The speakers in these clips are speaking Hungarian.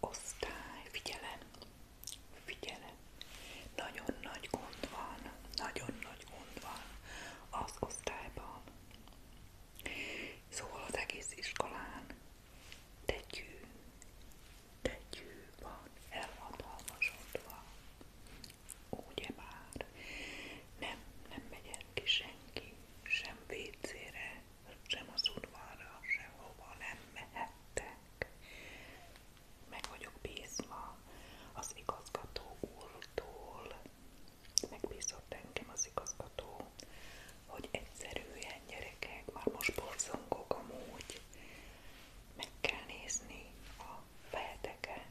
Osztály, figyelem, figyelem, nagyon nagy gond van, nagyon nagy gond van az osztályban. Szóval az egész iskolán tegyű, tegyű van elhatalmasodva. Ugye már nem, nem megy el ki senki, sem vécére, sem az udvarra, sehova nem mehettek. Meg vagyok bízva az igazgató úrtól, megbízott engem az igazgató, hogy egyszerűen gyerekek, már most borzongok amúgy, meg kell nézni a fejeteket.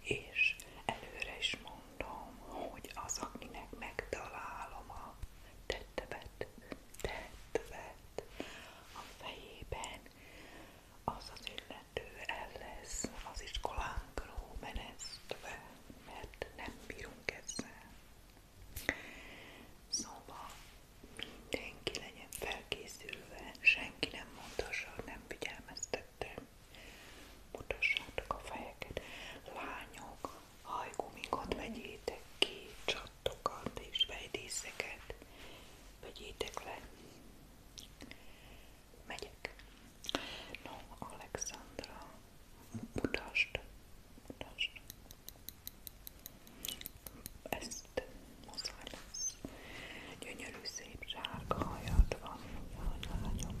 És előre is mondom, mondom, hogy az, akinek megtalálom a tettevet, tettevet a fejében, az az illető el lesz az iskolánkról menesztve, mert nem bírunk ezzel. Szóval mindenki legyen felkészülve, senki nem mondhassa, hogy nem figyelmeztettem. Mutassátok a fejeket. Lányok, hajgumikot vegyétek ki, csattokat és fejdíszeket vegyétek le. Megyek. No, Alexandra, mutasd, mutasd. Ezt muszáj lesz. Gyönyörű szép sárga hajad van, a lányom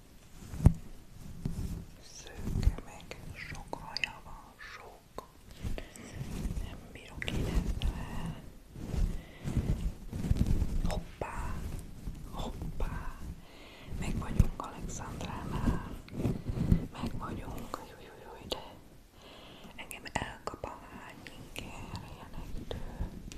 Szőke meg, sok haja van, sok. Nem bírok érezve. Hoppá, hoppá. Meg vagyunk Alexandránál. Meg vagyunk, jó, jó, jó, de engem elkap a hány inger, ilyenektől.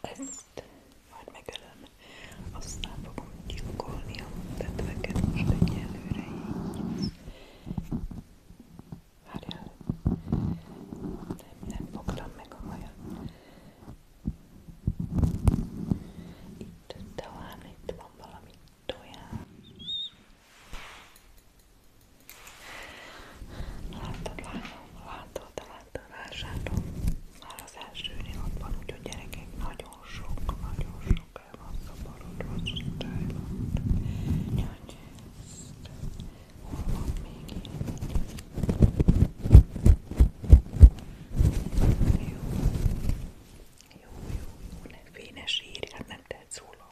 Ezt majd megölöm, aztán fogom gyilkolni a tetveket most egyelőre így. Várjál, nem, nem fogtam meg a hajat. Itt talán itt van valami tojás. Látod, lányom, látod, látod, vásárlom. Már az első ott van, úgyhogy gyerekek nagyon sok, nagyon sok el van szaporodva az osztályban. Nyanyészt, hol van még ilyen? Jó, jó, jó, jó, nem fényes írj, hát nem tehet szóló.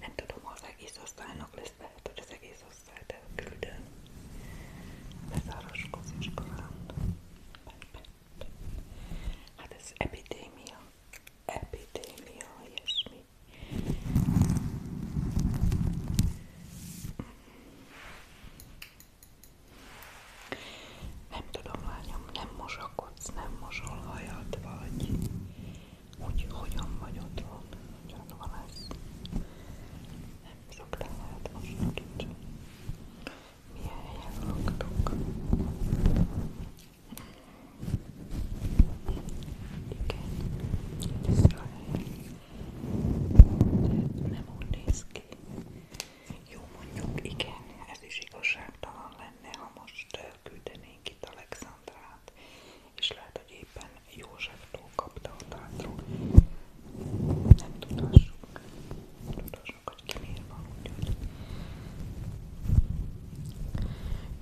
Nem tudom, az egész osztálynak lesz, lehet, hogy az egész osztály fel küldöm. Beszáraskoz iskolán. Hát ez epidémia. Epidémia, ilyesmi. Nem tudom, lányom, nem mosakodsz, nem mosol hajad, vagy hogy hogyan vagy otthon, hogyan van ez. Nem sok lehet most kicsit. Milyen helyen laktok? Igen, Izrael. De nem úgy néz ki. Jó, mondjuk igen, ez is igazságtalan lenne, ha most küldenénk itt Alexandrát és lehet, hogy éppen Józseftól kapta a tátról. Nem tudassuk. Tudassuk, hogy ki miért van, úgyhogy.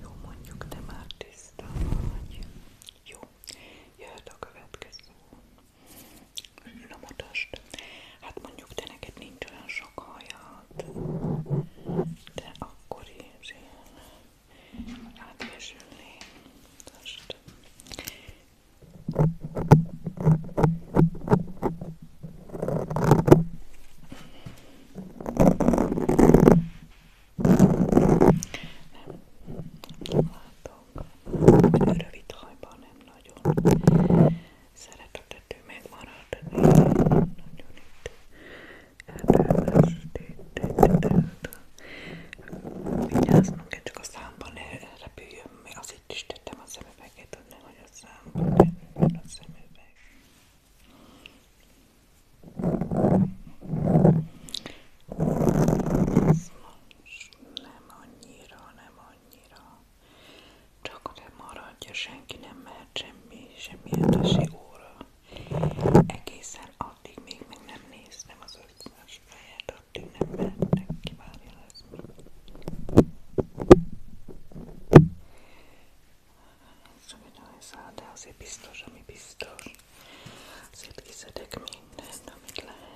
Jó, mondjuk, te már tiszta vagy. Jó, jöhet a következő. Na mutasd. Hát mondjuk, te neked nincs olyan sok hajad, de akkor is ilyen átfésülni. Most. Nem látok, hogy rövid hajban nem nagyon szeretetető megmarad, nagyon itt Vigyázzunk kell, csak a számban ne repüljön mi. Azért is tettem a szemüveget, hogy nehogy a számban repüljön a szemüveg. Ez most nem annyira, nem annyira. Csak nem maradja, senki nem mehet semmi, semmi hetesi óra. Egészen addig még meg nem néztem az ötszörös fejet, addig nem mehettek ki, várjál szóval, ez mi. Semmi nem de azért biztos, ami biztos. Azért kiszedek mindent, amit lehet.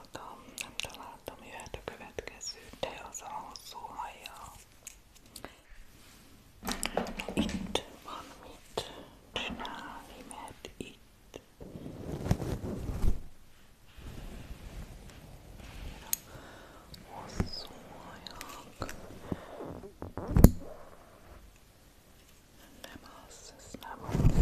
találtam, nem találtam, jöhet a következő, de az a hosszú hajjal. Itt van mit csinálni, mert itt hosszú hajak. Nem az, ez nem az.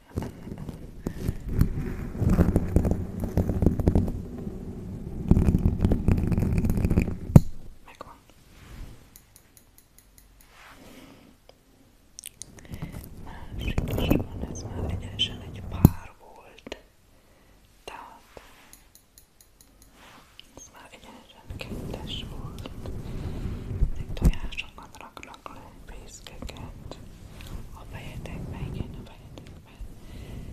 Megvan. Másik is van, ez már egyenesen egy pár volt. Tehát ez már egyenesen kettes volt. Egy tojásokat raknak le, fészkeket. A fejedekbe, igen, a fejedekbe.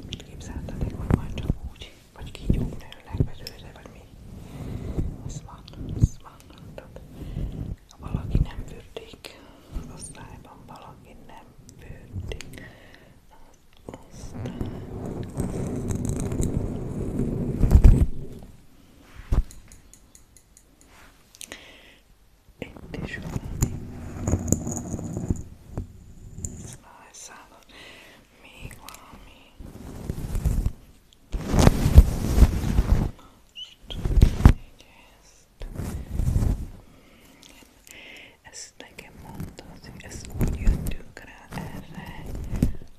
Mit képzeltetek, hogy majd csak úgy, vagy kígyók nőnek belőle, vagy mi? Ez van, ez van, tudod. Ha valaki nem fürdik, az osztályban valaki nem fürdik, az osztályban. Itt is valami. Szóval, Szállod. Még valami. Így ezt. Ezt nekem mondta, hogy ezt úgy jöttünk rá erre,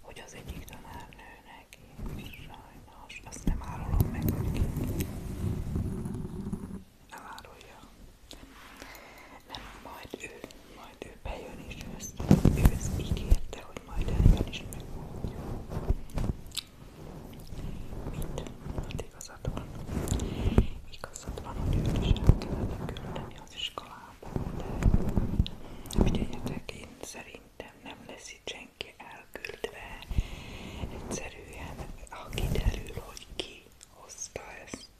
hogy az egyik tanárnőnek én sajnos azt nem árulom meg neki elárulja. Mert majd ő, majd ő bejön és ezt, ő ezt ígérte, hogy majd eljön is megmondja. Mit? Hát igazad van. Igazad van, hogy őt is el kellene küldeni az iskolába, de figyeljetek, én szerintem nem lesz itt senki elküldve. Egyszerűen, ha kiderül, hogy ki hozta ezt,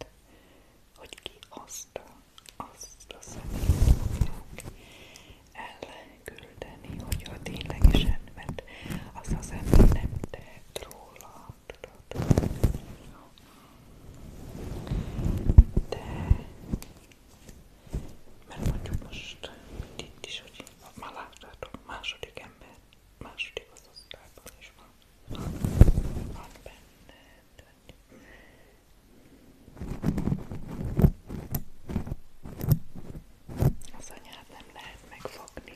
hogy ki hozta azt a szemét fogják elküldeni, hogyha ténylegesen, mert az az ember nem tehet róla, tudod? De, mert mondjuk most itt is, hogy már láttátok, második ember, második az osztályban is van, van, van benne, az anyát nem lehet megfogni.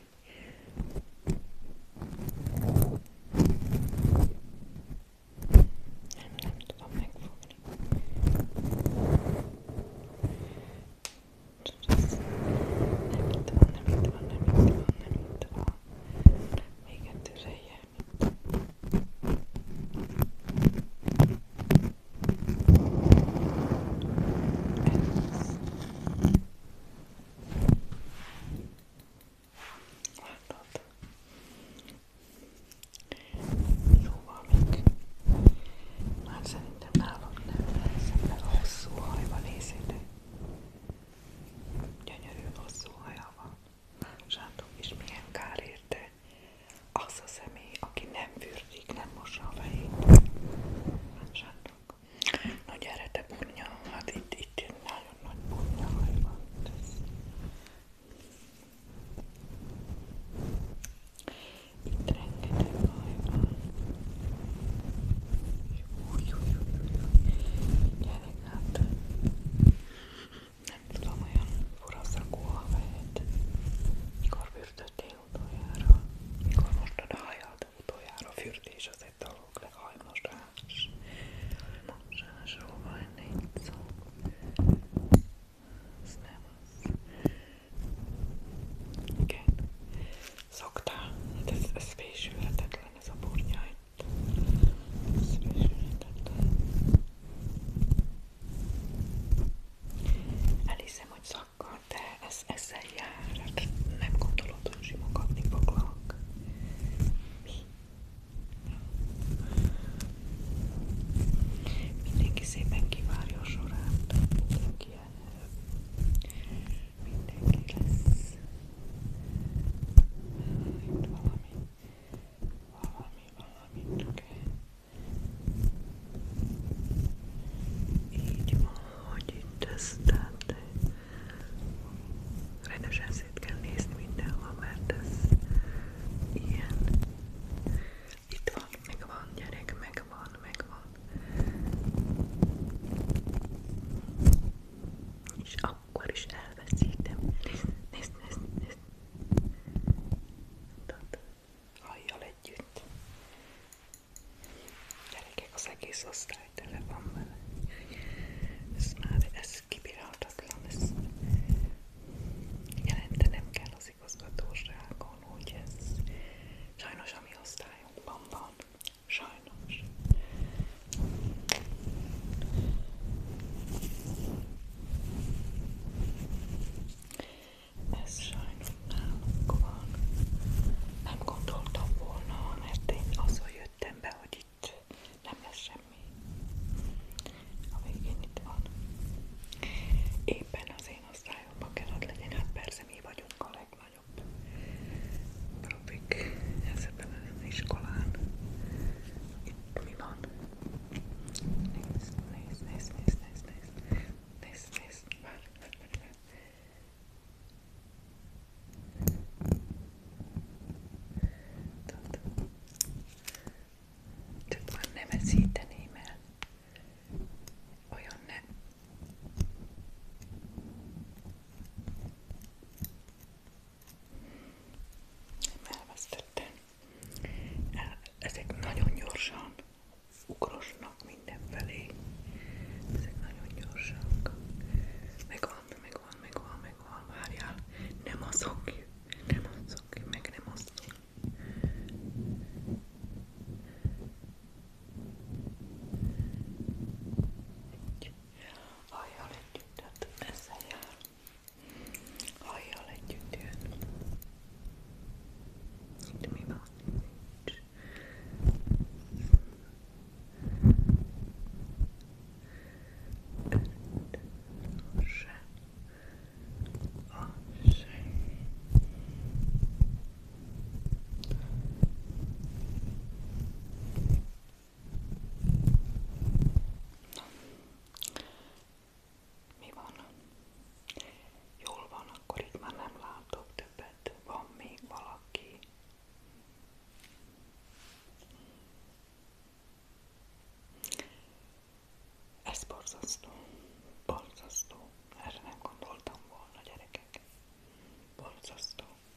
Nem, nem tudom megfogni nem itt van, nem itt van, nem itt van, nem itt van. Még egy tüzelje, mint. Ez. Látod? Jóval még. Már szerintem nálam nem lesz, mert hosszú haj van észre. Gyönyörű hosszú haja van. Sándor, és milyen kár érte az a személy, aki nem fürdik, nem mossa a fejét. Hát, Sándor. Na gyere te burnya, hát itt, itt nagyon nagy burnya haj van. Tesz. Itt rengeteg haj van. Gyerek, hát nem tudom, olyan fura szakú a fejed. Mikor fürdöttél utoljára? Mikor mostad a hajad utoljára? Fürdés az egy dolog, de hajmosás. Hajmosásról van nincs szó. Ez nem az. Igen szoktál. Hát ez, ez fésülhetetlen, ez a burnya itt. Ez fésülhetetlen. Elhiszem, hogy szakkad, de ez ezzel jár. Hát nem gondolod, hogy simogatni foglak. Mi? Mindenki szépen kivárja a sorát. Mindenki elnő mindenki lesz. Itt valami, valami, valami kell. Így ahogy itt ezt, tehát rendesen szét kell nézni mindenhol, mert ez ilyen. Itt van, megvan gyerek, megvan, megvan és akkor is elveszítem. Nézd, nézd, nézd, nézd. Tehát hajjal együtt. Gyerekek, az egész osztály tele van vele. Ez már, ez kibírhatatlan, ez jelentenem kell az igazgatóságon, hogy ez sajnos a mi osztályunkban van, Sajnos. Ez sajnos nálunk van. Nem gondoltam volna, mert én azon jöttem be, hogy itt nem lesz semmi. A végén itt van. Éppen az én osztályomban kellett legyen, hát persze mi vagyunk a legmásik nagyobb profik ezekben az iskolán. Itt mi van? Nézd, nézd, nézd, nézd, nézd, nézd, nézd, nézd, várj, várj, várj. Tudod, csak már nem veszíteném el. Olyan nem. Nem elvesztettem. Ezek nagyon gyorsan ugrosnak mindenfelé. Ezek nagyon gyorsak. Megvan, megvan, megvan, megvan, várjál. Nem azok, nem azok, meg nem azok hajjal együtt, tehát ezzel jár. Hajjal együtt jön. Itt mi van? Nincs. Öt, se. A, se. No. Mi van? Jól van, akkor itt már nem látok többet. Van még valaki? Ez borzasztó. Borzasztó. Erre nem gondoltam volna, gyerekek. Borzasztó.